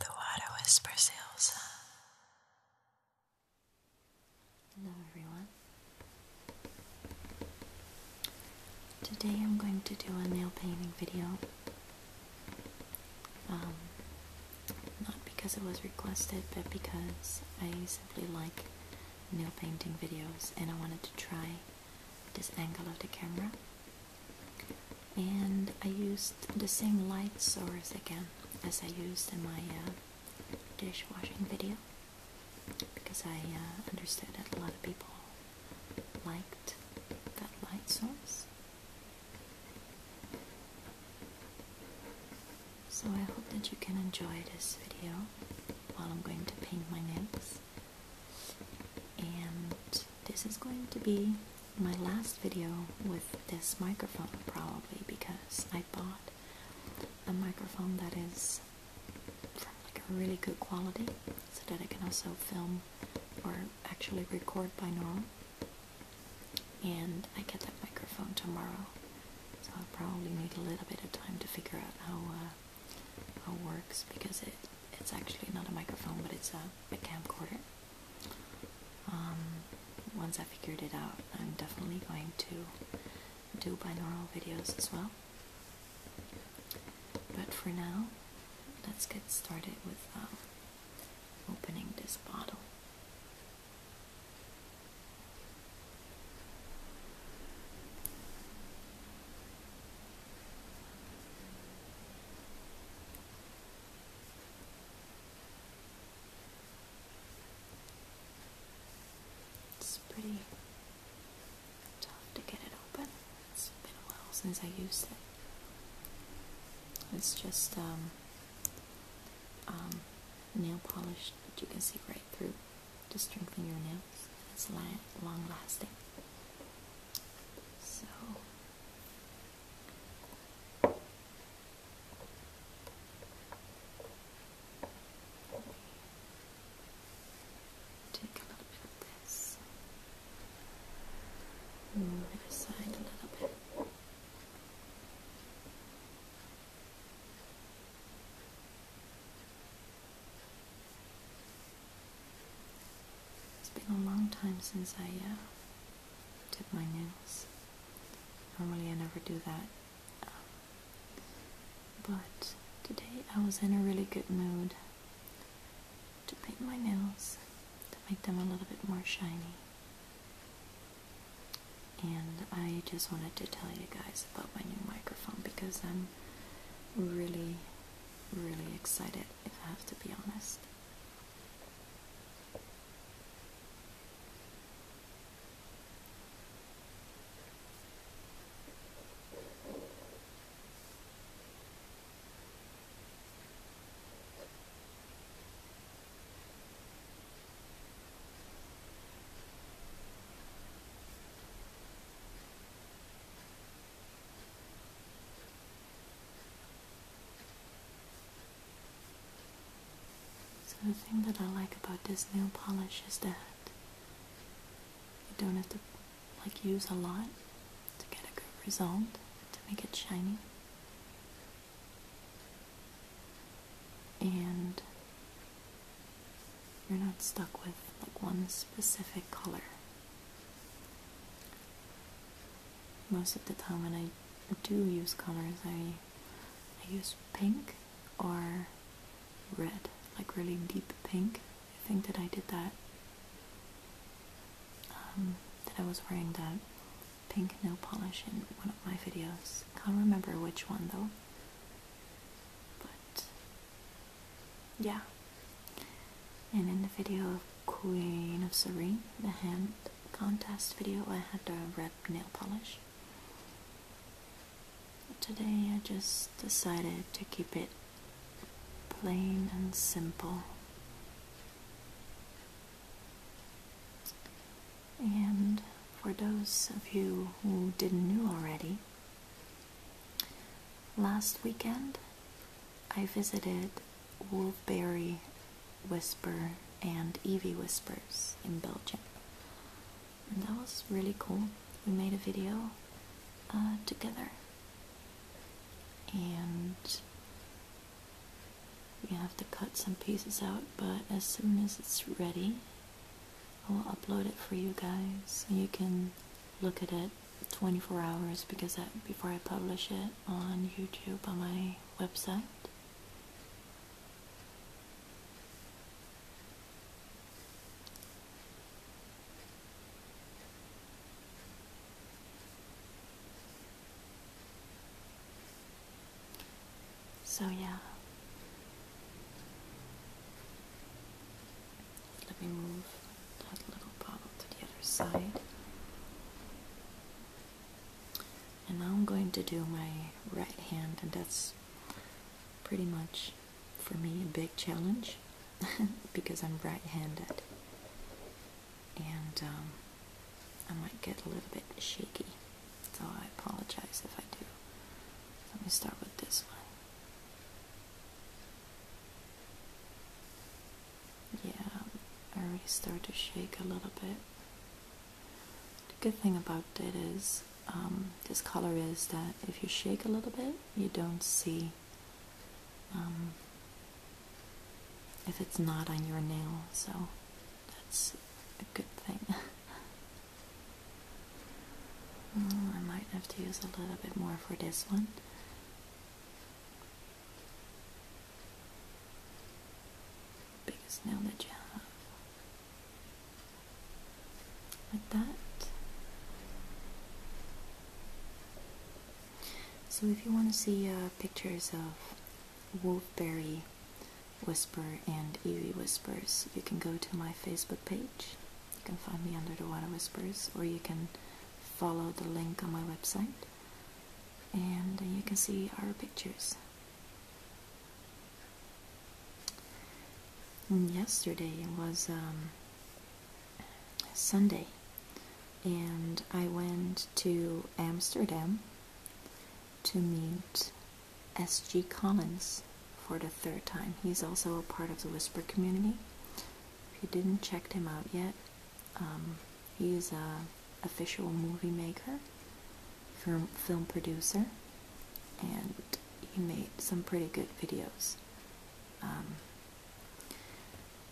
The water whispers Elsa. Hello everyone. Today I'm going to do a nail painting video. Um, not because it was requested, but because I simply like nail painting videos and I wanted to try this angle of the camera and I used the same light source again as I used in my uh, dishwashing video because I uh, understood that a lot of people liked that light source. So I hope that you can enjoy this video while I'm going to paint my nails and this is going to be my last video with this microphone probably because I bought a microphone that is like really good quality so that I can also film or actually record binaural and I get that microphone tomorrow so I'll probably need a little bit of time to figure out how uh, it works because it it's actually not a microphone but it's a, a camcorder. Um, once I figured it out, I'm definitely going to do binaural videos as well. But for now, let's get started with um, opening this bottle. It's pretty tough to get it open. It's been a while since I used it. It's just um, um, nail polish that you can see right through to strengthen your nail it's long lasting. So take a little bit of this, move it aside a little bit. It's been a long time since I uh, did my nails. Normally I never do that. Um, but today I was in a really good mood to paint my nails, to make them a little bit more shiny. And I just wanted to tell you guys about my new microphone because I'm really, really excited, if I have to be honest. So the thing that I like about this nail polish is that you don't have to like use a lot to get a good result to make it shiny. And you're not stuck with like one specific color. Most of the time when I do use colors, I, I use pink or red, like really deep pink. I think that I did that, um, that I was wearing that pink nail polish in one of my videos. Can't remember which one though. Yeah. And in the video of Queen of Serene, the hand contest video, I had the red nail polish. But today I just decided to keep it plain and simple. And for those of you who didn't know already, last weekend I visited Wolfberry Whisper and Evie Whispers in Belgium. that was really cool. We made a video uh, together. And we have to cut some pieces out, but as soon as it's ready, I will upload it for you guys you can look at it 24 hours because before I publish it on YouTube on my website. So, yeah. Let me move that little bottle to the other side. And now I'm going to do my right hand, and that's pretty much for me a big challenge because I'm right handed and um, I might get a little bit shaky. So I apologize if I do. Let me start with this one. Yeah, I already start to shake a little bit. The good thing about it is, um, this color is that if you shake a little bit, you don't see um, if it's not on your nail. So that's a good thing. Oh, I might have to use a little bit more for this one. Biggest nail that you have. Like that. So if you want to see uh, pictures of Wolfberry Whisper and Eerie Whispers, you can go to my Facebook page. You can find me under the Water Whispers, or you can follow the link on my website, and you can see our pictures. yesterday was um, Sunday, and I went to Amsterdam to meet S.G. Collins for the third time. He's also a part of the Whisper community. If you didn't check him out yet, he's um, he a official movie maker, film, producer, and he made some pretty good videos. Um,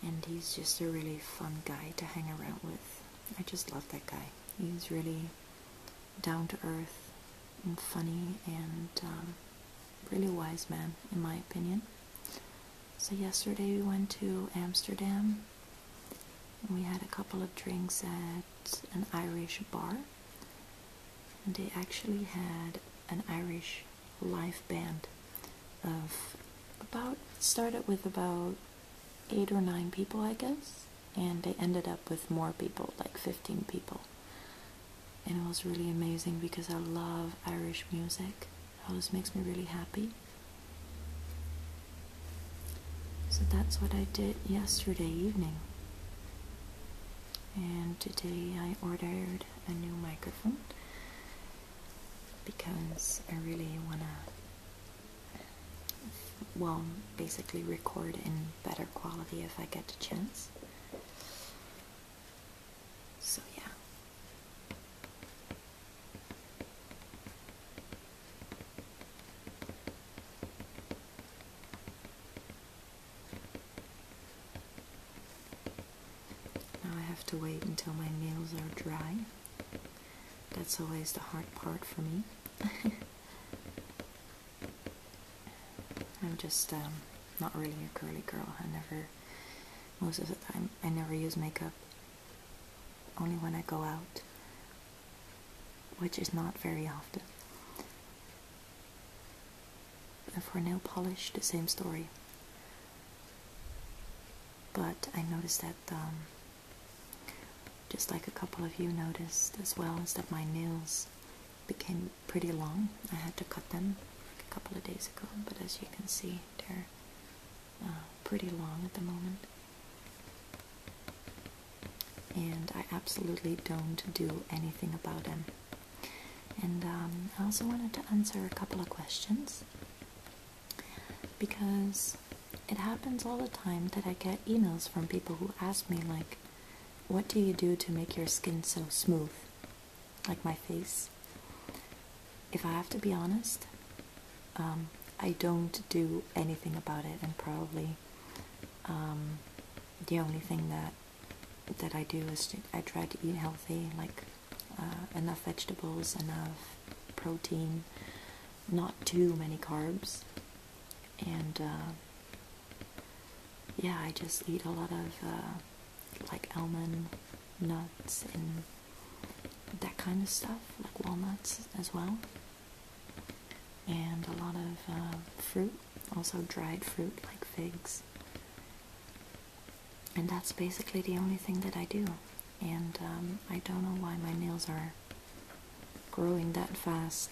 and he's just a really fun guy to hang around with. I just love that guy. He's really down to earth and funny and um, really wise man, in my opinion. So yesterday we went to Amsterdam. we had a couple of drinks at an Irish bar, and they actually had an Irish live band of about started with about eight or nine people, I guess, and they ended up with more people, like 15 people. And it was really amazing because I love Irish music. It always makes me really happy. So that's what I did yesterday evening. And today I ordered a new microphone because I really want to well, basically record in better quality if I get a chance. So, yeah. Now I have to wait until my nails are dry. That's always the hard part for me. I'm just um, not really a girly girl. I never, most of the time, I never use makeup. Only when I go out, which is not very often. And for nail polish, the same story. But I noticed that, um, just like a couple of you noticed as well, is that my nails became pretty long. I had to cut them a couple of days ago, but as you can see, they're uh, pretty long at the moment. And I absolutely don't do anything about them. And um, I also wanted to answer a couple of questions because it happens all the time that I get emails from people who ask me, like, what do you do to make your skin so smooth? Like my face. If I have to be honest, um, I don't do anything about it, and probably um, the only thing that that I do is I try to eat healthy, like uh, enough vegetables, enough protein, not too many carbs, and uh, yeah, I just eat a lot of uh, like almond nuts and that kind of stuff, like walnuts as well, and a lot of fruit, also dried fruit like figs and that's basically the only thing that I do. And um, I don't know why my nails are growing that fast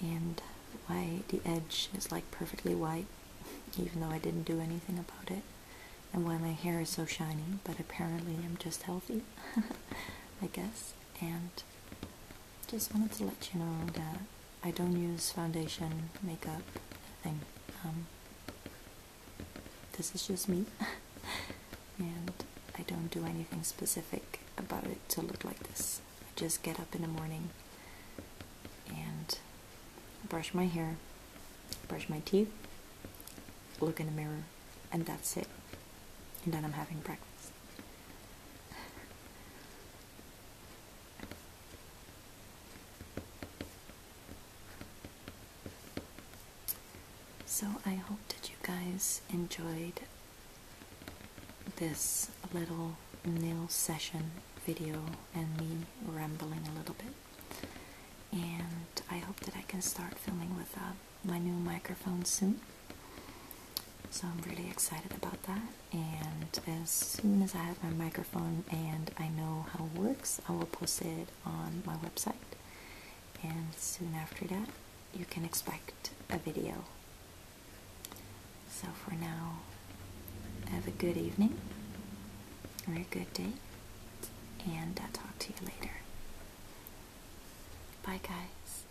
and why the edge is like perfectly white, even though I didn't do anything about it, and why my hair is so shiny, but apparently I'm just healthy, I guess. And just wanted to let you know that I don't use foundation, makeup, nothing. Um, this is just me and I don't do anything specific about it to look like this. I just get up in the morning and brush my hair, brush my teeth, look in the mirror, and that's it. And then I'm having breakfast. So I hope that you guys enjoyed this little nail session video and me rambling a little bit. And I hope that I can start filming with uh, my new microphone soon. So I'm really excited about that and as soon as I have my microphone and I know how it works, I will post it on my website. And soon after that, you can expect a video. So for now, have a good evening have a good day, and I'll talk to you later. Bye, guys.